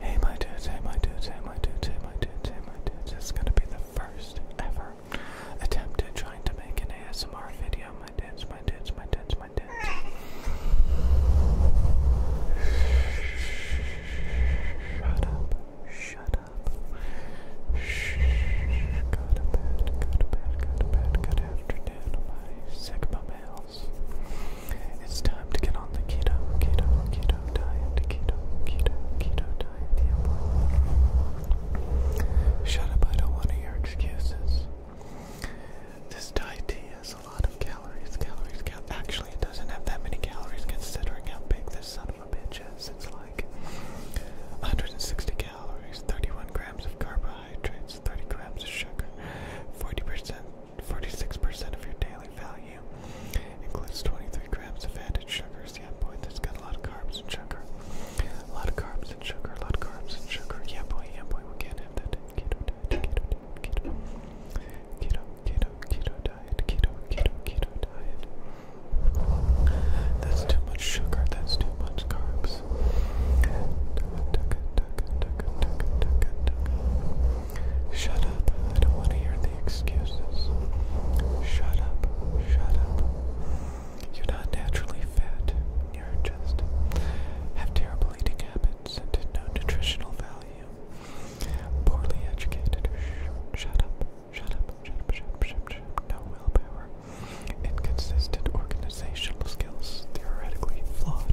Hey my dudes, hey my dudes, hey my dudes, hey my dudes, hey my dudes. This is gonna be the first ever attempt at trying to make an ASMR video, my dudes, my dudes, my dudes, my dudes. Shut up, shut up. Shh. Go to bed, go to bed, go to bed. Good afternoon, my Sigma male is. It's time to get on the keto, keto, keto diet, keto, keto, keto diet. Yeah, Shut up, I don't want to hear excuses. This diet tea has a lot of calories, calories, cal Actually, it doesn't have that many calories considering how big this son of a bitch is. It's like 160 calories, 31 grams of carbohydrates. 30 grams of sugar, 40%, 46% of your daily value. Includes 23 grams of added sugars. Yeah, boy, that's got a lot of carbs and sugar. A lot of carbs and sugar, a lot of carbs and sugar. Yeah, boy, yeah, boy, we can't have that. Keto diet, keto diet, keto. Keto, keto, diet, keto diet. That's too much sugar, that's too much carbs. Shut up. I don't want to hear the excuses. Shut up. Shut up. You're not naturally fat. You're just have terrible eating habits no nutritional value. Poorly educated. Shut up. Shut up. Shut up. Shut up. Shut up. No willpower. Inconsistent organizational skills, theoretically flawed.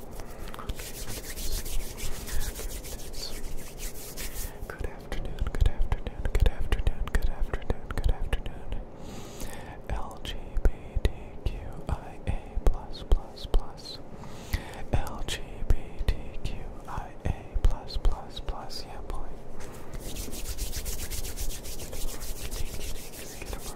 Good afternoon, good afternoon, good afternoon, good afternoon, good afternoon. LGBTQIA plus plus plus. LGBTQIA plus plus plus. Yeah, boy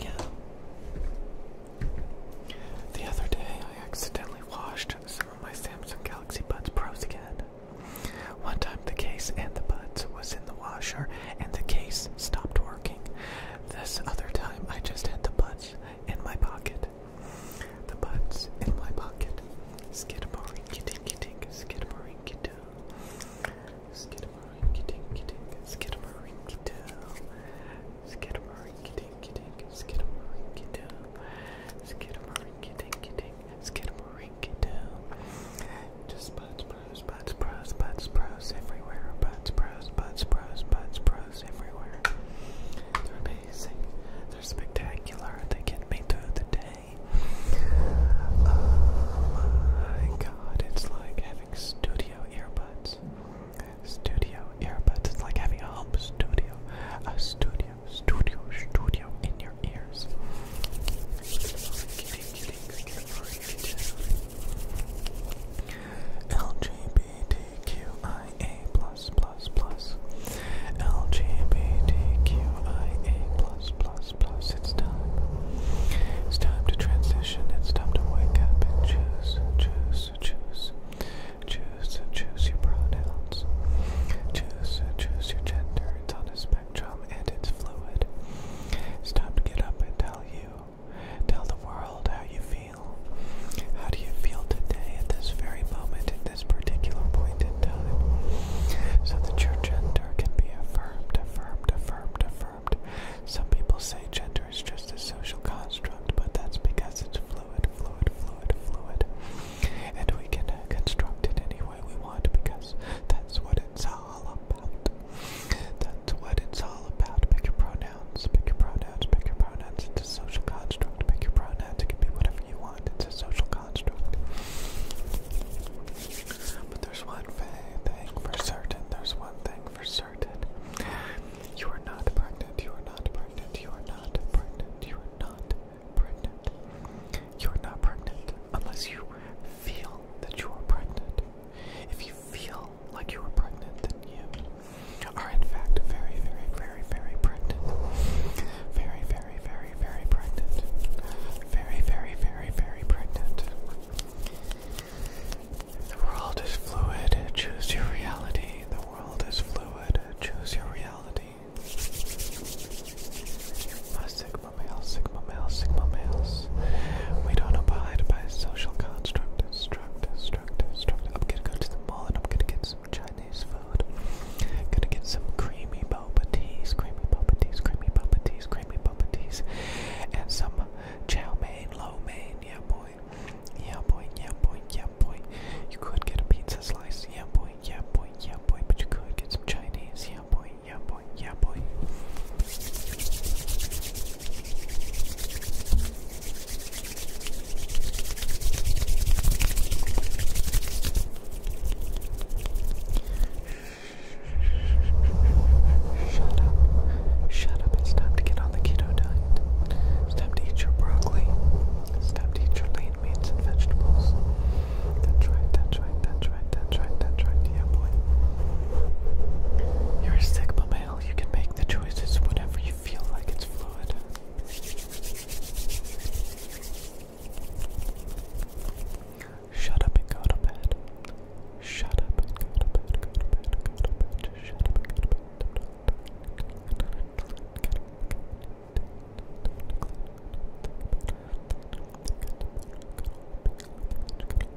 Yeah. The other day, I accidentally washed some of my Samsung Galaxy Buds Pros again. One time, the case and the buds was in the washer, and the case stopped working. This other time, I just had the buds in my pocket. The buds in my pocket. Skidamarinky-dinky-dink, skidamarinky-doo. Skidamarinky-dinky-dink, skidamarinky-doo. Skidamarinky-dinky-dink, skidamarinky-doo. Skidamarinky-dinky-dink, skidamarinky-doo. Just buds, bros, buds, bros, buds, bros everywhere. Buds, bros, buds, bros, buds, bros everywhere. They're amazing. They're spectacular. They get me through the day. Oh my god, it's like having studio earbuds. Studio earbuds. It's like having a studio. A studio, studio, studio in your ears. LGBTQ LGBTQIA plus plus plus LGBTQIA plus plus plus. It's time. It's time to transition. It's time to wake up and choose, choose, choose, choose, choose your pronouns. Choose, choose your gender. It's on a spectrum and it's fluid. It's time to get up and tell you, tell the world how you feel. How do you feel today at this very moment, at this particular point in time? So that your gender can be affirmed, affirmed, affirmed, affirmed. Some people say gender is just a social construct, but that's because it's fluid, fluid, fluid, fluid. And we can construct it any way we want because that's what it's all about. That's what it's all about. Pick your pronoun Pick your pronouns. Pick your pronouns. It's a social construct. Pick your pronouns. It can be whatever you want. It's a social construct. But there's one thing for certain. There's one thing for certain. You are not pregnant. You are not pregnant. You are not pregnant. You are not pregnant. You are not pregnant unless you feel that you are pregnant. If you feel like you were pregnant, did you? Are in fact very, very, very, very pregnant. Very, very, very, very pregnant. Very, very, very, very pregnant. The world is fluid, choose your reality. The world is fluid, choose your reality. My sigma males, sigma males, sigma males. We don't abide by social construct, I'm gonna go to the mall and I'm gonna get some Chinese food. I'm gonna get some creamy boba teas, creamy boba teas, creamy boba teas, creamy boba teas, and some chow mein, lo mein. Yeah, boy. Yeah, boy. Yeah, boy. Yeah, boy. You could get a pizza slice. Yeah, boy. Yeah, boy. Yeah, boy. But you could get some Chinese. Yeah, boy. Yeah, boy. Yeah, boy. Shut up. Shut up. It's time to get on the keto diet. It's time to eat your broccoli. It's time to eat your lean meats and vegetables. That's right, that's right, that's right, that's right, that's right. Yeah, boy. You're a sick, but you can make the choices whenever you feel like it's fluid. shut up and go to bed. Shut up and go to bed.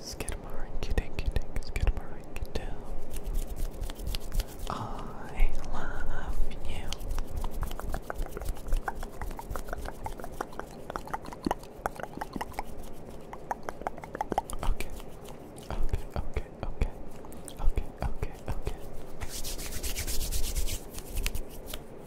Skidmarink, dink, dink, skidmarink, do. I love you. Okay. Okay, okay, okay. Okay, okay, okay.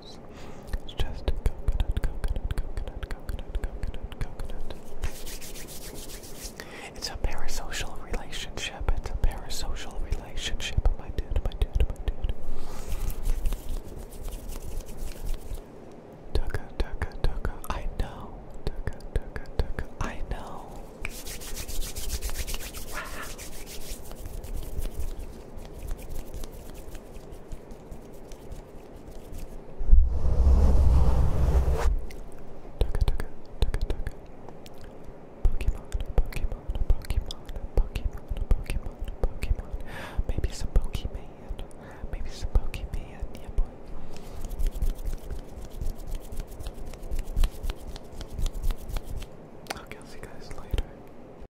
It's just coconut, coconut, coconut, coconut, coconut, coconut. It's a parasocial relationship. It's a parasocial relationship, my dude, my dude, my dude. Tucka, tucka, tucka, I know. Tucka, tucka, tucka, I know. Wow. Tuka tuka tuka tuka. Pokemon, Pokemon, Pokemon, Pokemon, Pokemon, Pokemon. Maybe some Pokemon. Maybe some Pokemon, yeah I'll see you guys later.